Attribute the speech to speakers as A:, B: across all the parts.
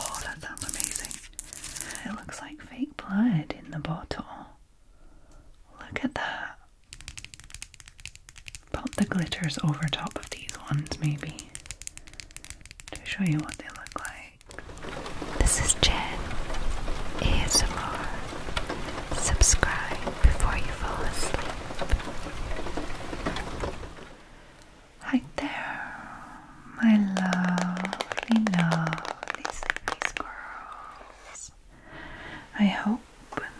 A: Oh, that sounds amazing. It looks like fake blood in the bottle. Look at that. Pop the glitters over top of these ones, maybe, to show you what they look like. This is Jen ASMR. Subscribe before you fall asleep. Hi there, my lovely, lovely girls. I hope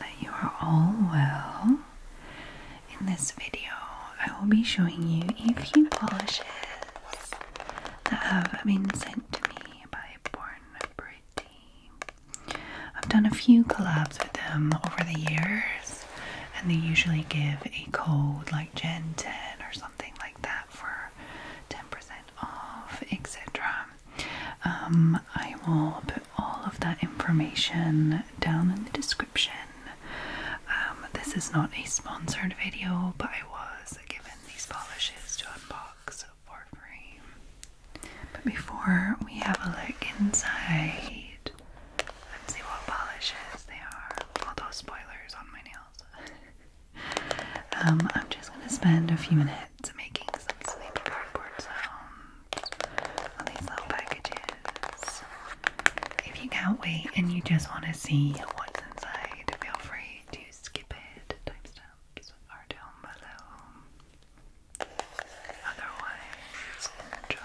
A: that you are all well. In this video, I will be showing you a few polishes that have been sent to me by Born Brave. I've done a few collabs with them over the years, and they usually give a code like Gen 10 or something like that for 10% off, etc. Um, I will put all of that information down in the description. Um, this is not a sponsored video, but I was given these polishes to unbox, for free. But before we have a look inside let and see what polishes they are, All those spoilers on my nails, um, I'm just going to spend a few minutes making some sleepy cardboard sounds on these little packages. If you can't wait and you just want to see what's inside, feel free to skip it. Timestamps are down below. Otherwise, enjoy.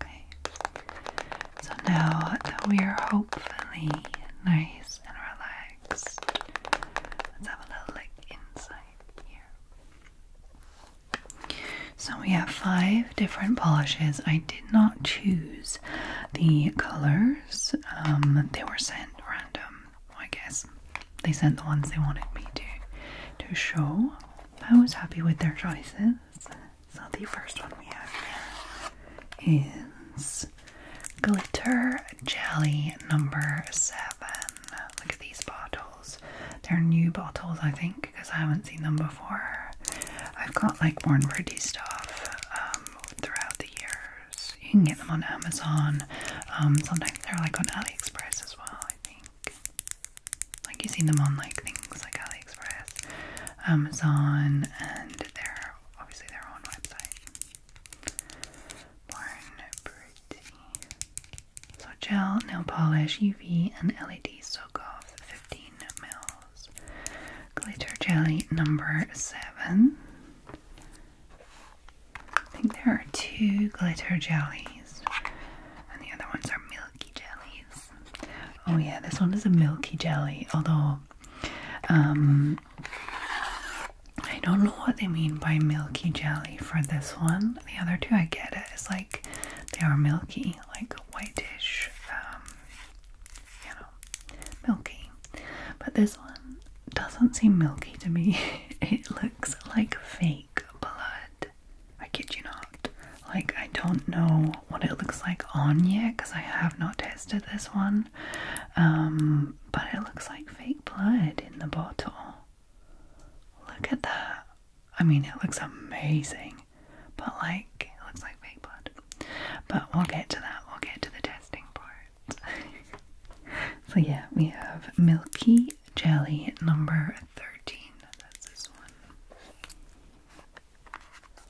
A: Okay. So now that we are hopefully nice and relaxed, let's have a little look inside here. So we have five different polishes. I did not choose the colors, um, they were sent random, I guess. They sent the ones they wanted me to to show. I was happy with their choices. So the first one we have here is Glitter Jelly number seven. Look at these bottles. They're new bottles, I think, because I haven't seen them before. I've got like more and Pretty stuff um, throughout the years. You can get them on Amazon. Um, sometimes they're like on AliExpress as well, I think like you've seen them on like things like AliExpress, Amazon, and their obviously their own website. Born Pretty. So gel, nail polish, UV, and LED soak off 15 mils. Glitter jelly number seven. I think there are two glitter jellies, and the other ones are milky jellies. Oh, yeah, this one is a milky jelly, although um, I don't know what they mean by milky jelly for this one. The other two, I get it. It's like they are milky, like whitish, um, you know, milky. But this one doesn't seem milky to me. it looks like fake blood. I kid you not. Like, I don't know what it looks like on yet because I have not tested this one. Um, but it looks like fake blood in the bottle. Look at that. I mean, it looks amazing, but like, it looks like fake blood. But we'll get to that, we'll get to the testing part. so, yeah, we have Milky jelly number 13. That's this one.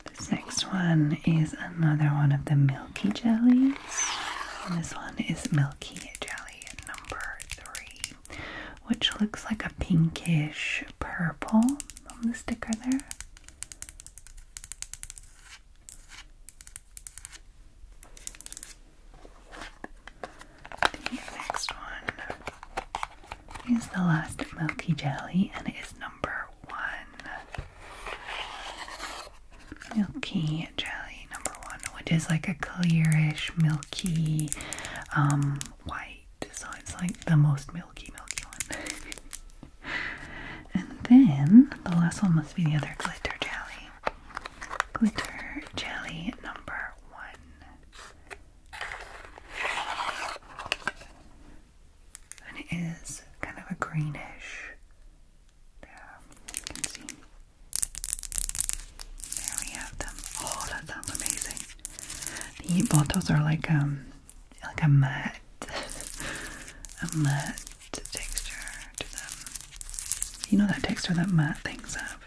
A: This next one is another one of the milky jellies. this one is milky jelly number 3, which looks like a pinkish purple on the sticker there. The next one is the last milky jelly and it is number one. Milky jelly number one, which is like a clearish, milky, um, white. So it's like the most milky, milky one. and then the last one must be the other glitter jelly glitter jelly number one. And it is kind of a greenish. There, you can see. There we have them. Oh, that sounds amazing. The bottles are like um like a matte a matte texture to them. You know that texture that matte things have.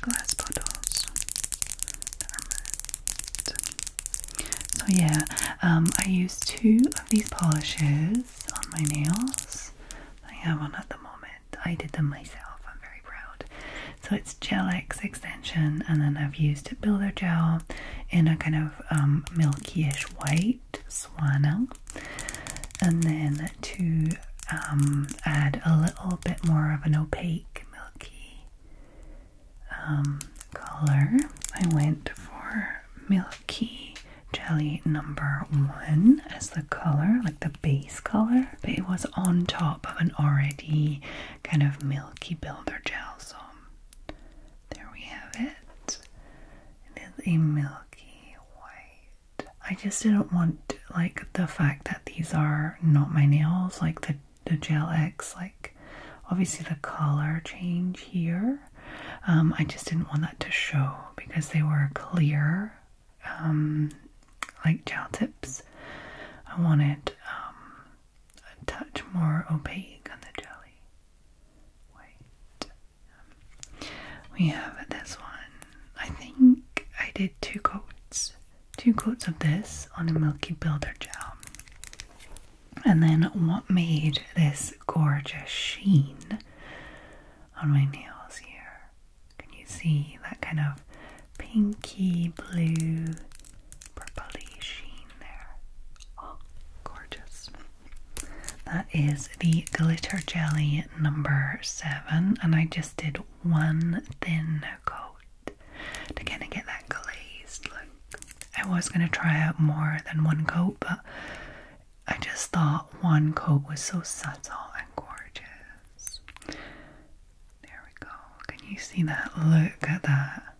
A: Glass bottles So yeah, um, I used two of these polishes on my nails. I have one at the moment. I did them myself. I'm very proud. So it's Gel X extension, and then I've used Builder Gel in a kind of um, milky-ish white white and then to um, add a little bit more of an opaque milky um, color I went for milky jelly number one as the color like the base color but it was on top of an already kind of milky builder gel so there we have it it is a milky white I just didn't want like the fact that these are not my nails, like the the Gel X, like obviously the color change here. Um, I just didn't want that to show because they were clear, um, like gel tips. I wanted um, a touch more opaque on the jelly. We have this one. I think I did two coats, two coats of this on a Milky Builder gel. And then what made this gorgeous sheen on my nails here? Can you see that kind of pinky blue purpley sheen there? Oh, gorgeous. That is the glitter jelly number seven, and I just did one thin coat to kind of get that glazed look. I was going to try out more than one coat, but I just thought one coat was so subtle and gorgeous. There we go. Can you see that? Look at that.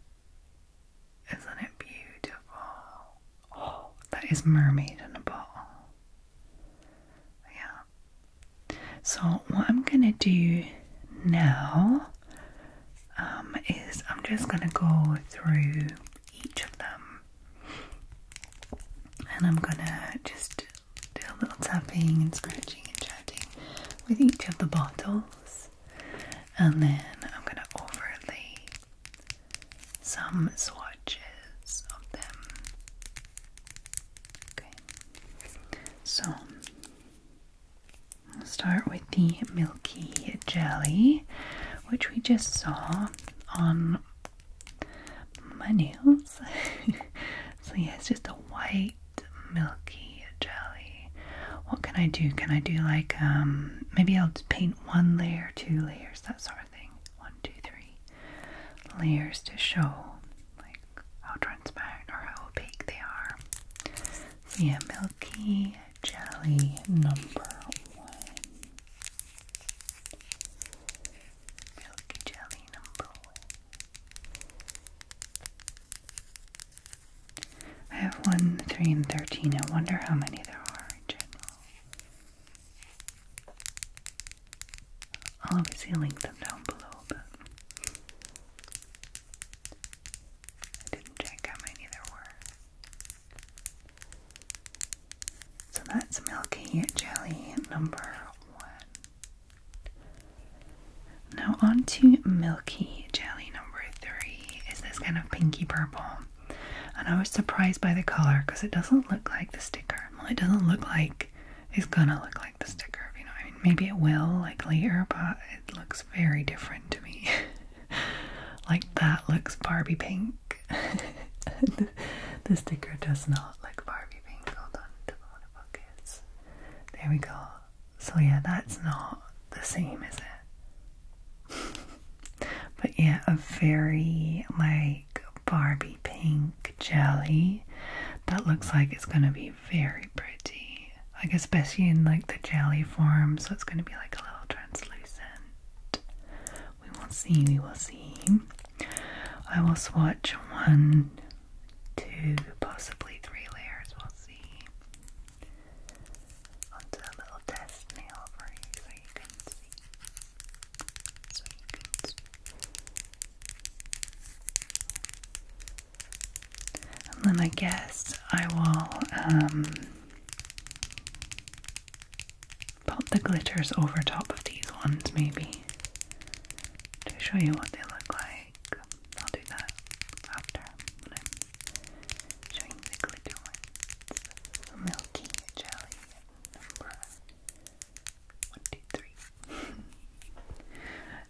A: Isn't it beautiful? Oh, that is mermaid in a bottle. Yeah. So what I'm gonna do now um, is I'm just gonna go through each of them, and I'm gonna just do a little tapping and scratching and chatting with each of the bottles, and then I'm gonna overlay some swatches of them. Okay, so start with the milky jelly, which we just saw on my nails. so, yeah, it's just a white milky jelly. What can I do? Can I do like, um, maybe I'll just paint one layer, two layers, that sort of thing one, two, three layers to show like how transparent or how opaque they are. yeah, milky jelly number one. Milky jelly number one. I have one, three, and thirteen. I wonder how many there are in general. I'll obviously link them down below, but I didn't check how many there were. So that's Milky Jelly number one. Now on to Milky Jelly number three. Is this kind of pinky purple? and I was surprised by the color because it doesn't look like the sticker. Well, it doesn't look like it's gonna look like the sticker, you know. I mean, maybe it will like later, but it looks very different to me. like that looks Barbie pink. the, sticker does not look Barbie pink. Hold on, double focus. There we go. So yeah, that's not the same, is it? but yeah, a very like Barbie pink jelly that looks like it's gonna be very pretty, like especially in like the jelly form, so it's gonna be like a little translucent. We will see, we will see. I will swatch one, two, possibly three layers, we'll see. Onto a little test nail for you where you And then I guess I will um, put the glitters over top of these ones, maybe, to show you what they look like. I'll do that after when I'm showing the glitter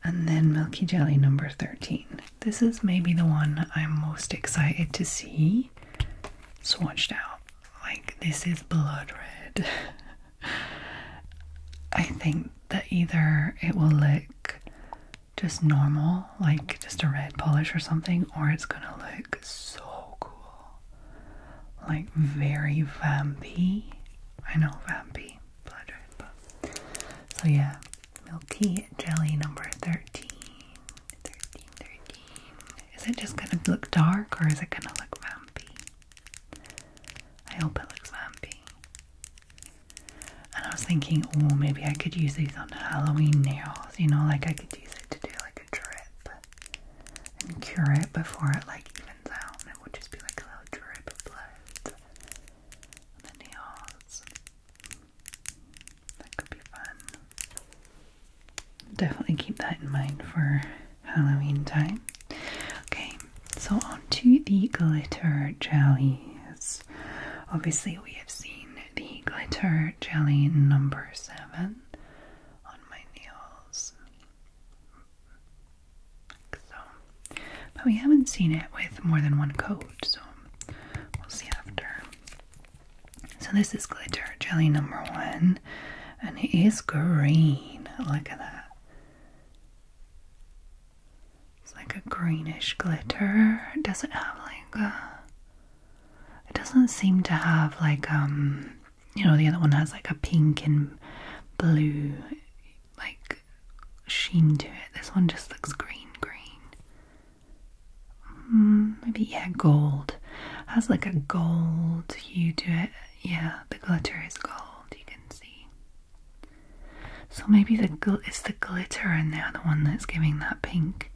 A: and then milky jelly number 13. This is maybe the one I'm most excited to see swatched out. Like, this is blood red. I think that either it will look just normal like just a red polish or something, or it's gonna look so cool. Like very vampy. I know vampy blood red, but so yeah, milky jelly number 13. 13, Is it just gonna look dark or is it gonna look vampy? I hope it looks vampy. And I was thinking, oh, maybe I could use these on Halloween nails, you know, like I could to do like a drip and cure it before it like evens out it would just be like a little drip of blood on the nails. That could be fun. Definitely keep that in mind for Halloween time. Okay, so on to the glitter jellies. Obviously, we have seen the glitter jelly number seven on my nails. so, but we haven't seen it with more than one coat, so we'll see after. So this is glitter jelly number one, and it is green. Look at that. It's like a greenish glitter. It doesn't have like a it doesn't seem to have like um you know the other one has like a pink and blue like sheen to it. This one just looks green green. Hmm, maybe yeah gold. has like a gold you do it. Yeah, the glitter is gold. You can see. So maybe the gl it's the glitter in the other one that's giving that pink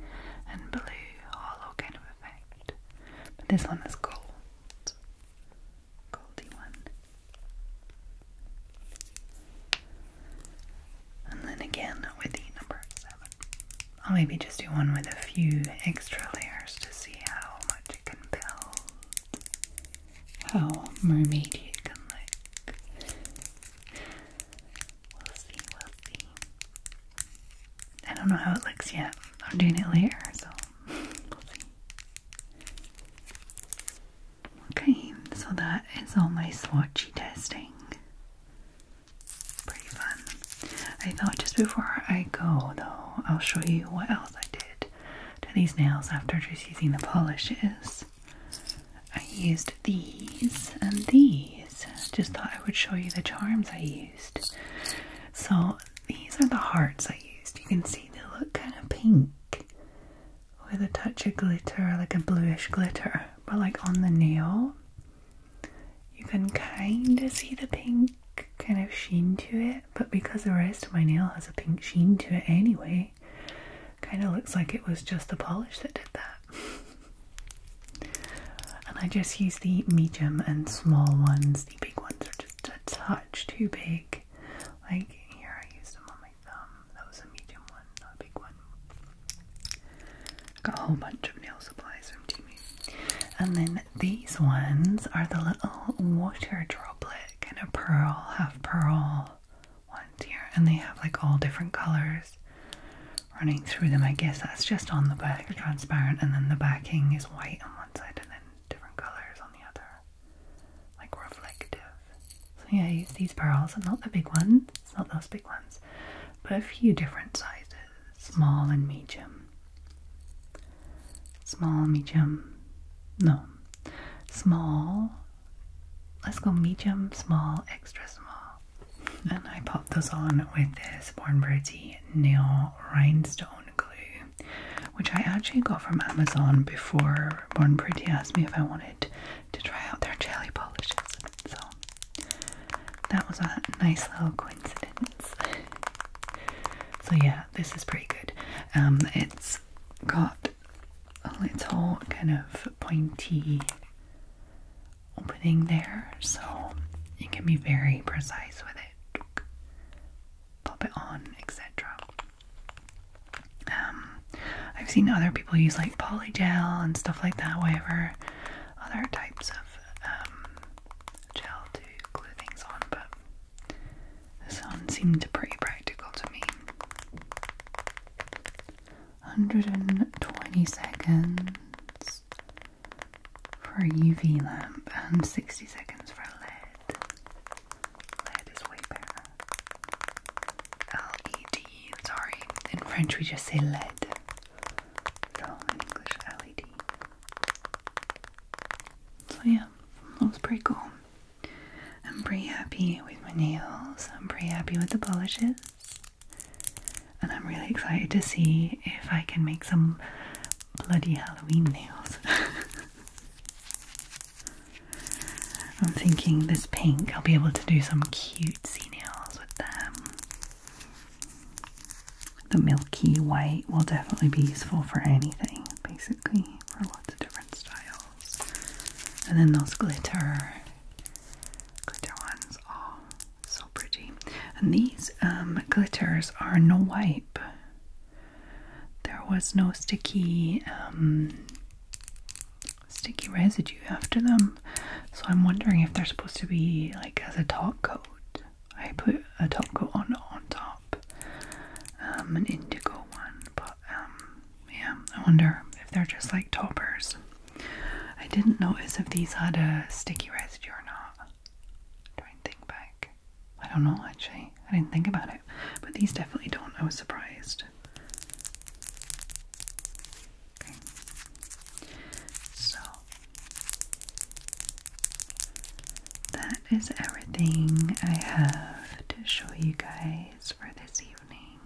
A: and blue hollow kind of effect. But this one is gold. Goldy one. And then again with the number seven. I'll maybe just do one with a few extra layers to see how much it can build. How mermaid you can look. We'll see, we'll see. I don't know how it looks yet. I'm doing it later, so we'll see. Okay, so that is all my swatchy testing. Pretty fun. I thought just before I go, though, I'll show you what else I did to these nails after just using the polishes. I used these and these. Just thought I would show you the charms I used. So these are the hearts I used. You can see they look kind of pink with a touch of glitter, like a bluish glitter. But like on the nail, you can kind of see the pink kind of sheen to it. But because the rest of my nail has a pink sheen to it anyway, kind of looks like it was just the polish that did that. And I just use the medium and small ones. The big ones are just a touch too big. Like here, I used them on my thumb. That was a medium one, not a big one. got a whole bunch of nail supplies from Timu. And then these ones are the little water droplet kind of pearl, half pearl ones here, and they have like all different colors running through them. I guess that's just on the back, transparent, and then the backing is white on one side and then different colors on the other, like reflective. So, yeah, these pearls, and not the big ones, it's not those big ones, but a few different sizes small and medium. Small, medium, no, small. Let's go medium, small, extra small and I popped those on with this Born Pretty nail rhinestone glue, which I actually got from Amazon before Born Pretty asked me if I wanted to try out their jelly polishes. So that was a nice little coincidence. so yeah, this is pretty good. Um, it's got a little kind of pointy opening there, so you can be very precise with it. Pop it on, etc. Um, I've seen other people use like polygel and stuff like that, whatever other types of um, gel to glue things on, but this one seemed pretty practical to me. 120 seconds for a UV lamp and 60 seconds for a LED. LED is way better. LED, sorry. In French we just say LED. So in English, LED. So yeah, that was pretty cool. I'm pretty happy with my nails. I'm pretty happy with the polishes. And I'm really excited to see if I can make some bloody Halloween nails. I'm thinking this pink, I'll be able to do some cutesy nails with them. The milky white will definitely be useful for anything, basically, for lots of different styles. And then those glitter glitter ones. Oh, so pretty. And these um, glitters are no wipe. There was no sticky um, sticky residue after them. So I'm wondering if they're supposed to be like as a top coat. I put a top coat on on top, um, an indigo one, but yeah, I wonder if they're just like toppers. I didn't notice if these had a sticky residue or not. Don't think back. I don't know actually. I didn't think about it. But these definitely don't. I was surprised. Okay. So that is everything I have to show you guys for this evening.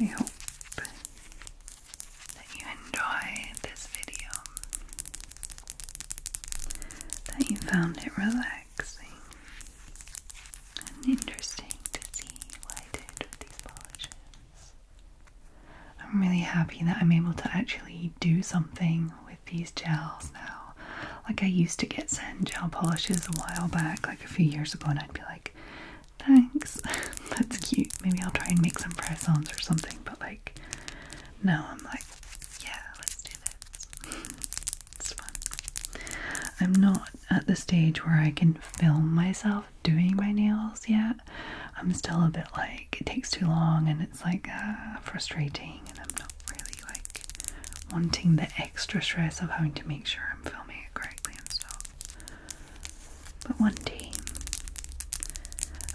A: I hope that you enjoyed this video, that you found it relaxing and interesting to see why I did with these polishes. I'm really happy that I'm able to actually do something with these gels now. Like I used to get satin gel polishes a while back, like a few years ago, and I'd be like, thanks, that's cute. Maybe I'll try and make some press-ons or something, but like, no, I'm like, yeah, let's do this. it's fun. I'm not at the stage where I can film myself doing my nails yet. I'm still a bit like, it takes too long and it's like uh, frustrating, and I'm not really like wanting the extra stress of having to make sure I'm filming it correctly and stuff. But one day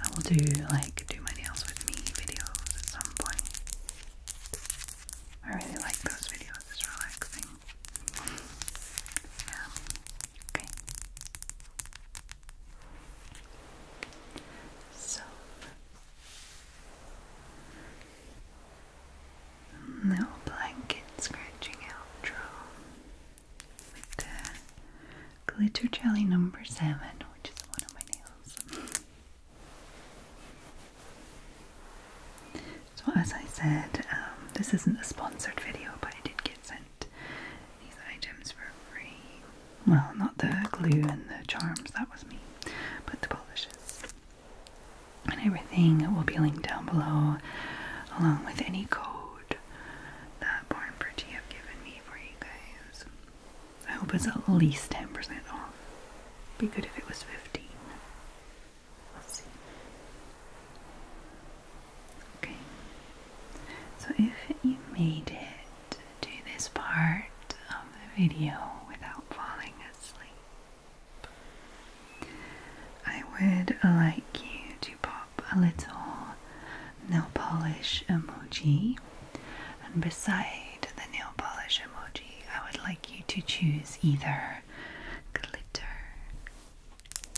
A: I will do like do my nails with me videos at some point. I really like those videos, it's relaxing. Um, okay. So little blanket scratching outro glitter jelly number seven, which is one of my nails. So as I said, um, this isn't a sponsored video, but I did get sent these items for free. Well, not the glue and the charms, that was me, but the polishes and everything will be linked down below along with any code that Born Pretty have given me for you guys. I hope it's at least 10% off. Be good if it was 15. Let's see. Okay. So if you made it to this part of the video without falling asleep, I would like you to pop a little nail polish emoji, and beside the nail polish emoji, I would like you to choose either glitter,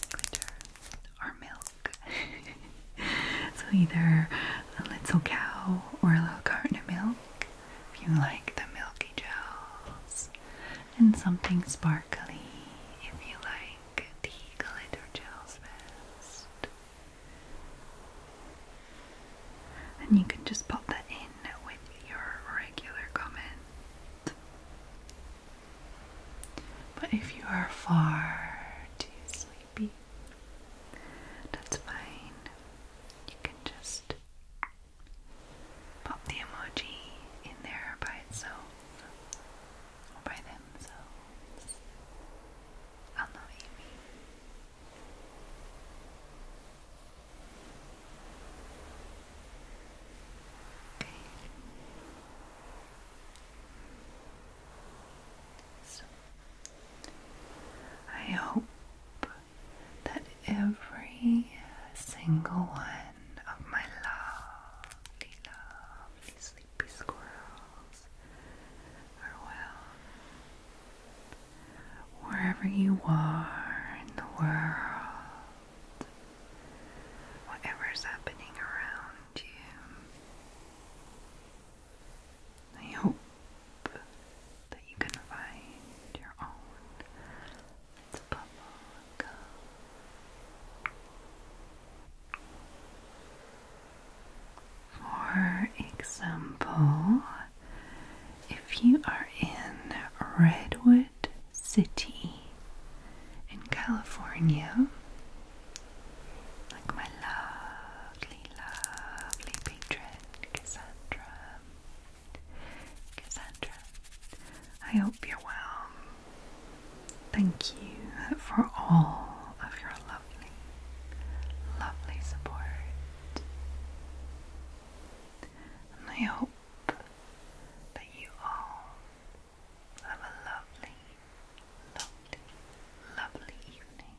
A: glitter, or milk. so either a little cow or a little carton of milk, if you like the milky gels, and something sparkly if you like the glitter gels best. And you can just pop that in with your regular comment. But if you are far too sleepy, that's fine. You can just pop the emoji in there by itself or by themselves. I'll know you mean. Okay. So I hope that every single one of my lovely, lovely sleepy squirrels are well. Wherever you are in the world, whatever's happening around you, I hope that you can find your own. For example, if you are in Redwood City in California, like my lovely, lovely patron Cassandra, Cassandra, I hope you're well. Thank you for all of your lovely, lovely support. And I hope that you all have a lovely, lovely, lovely evening.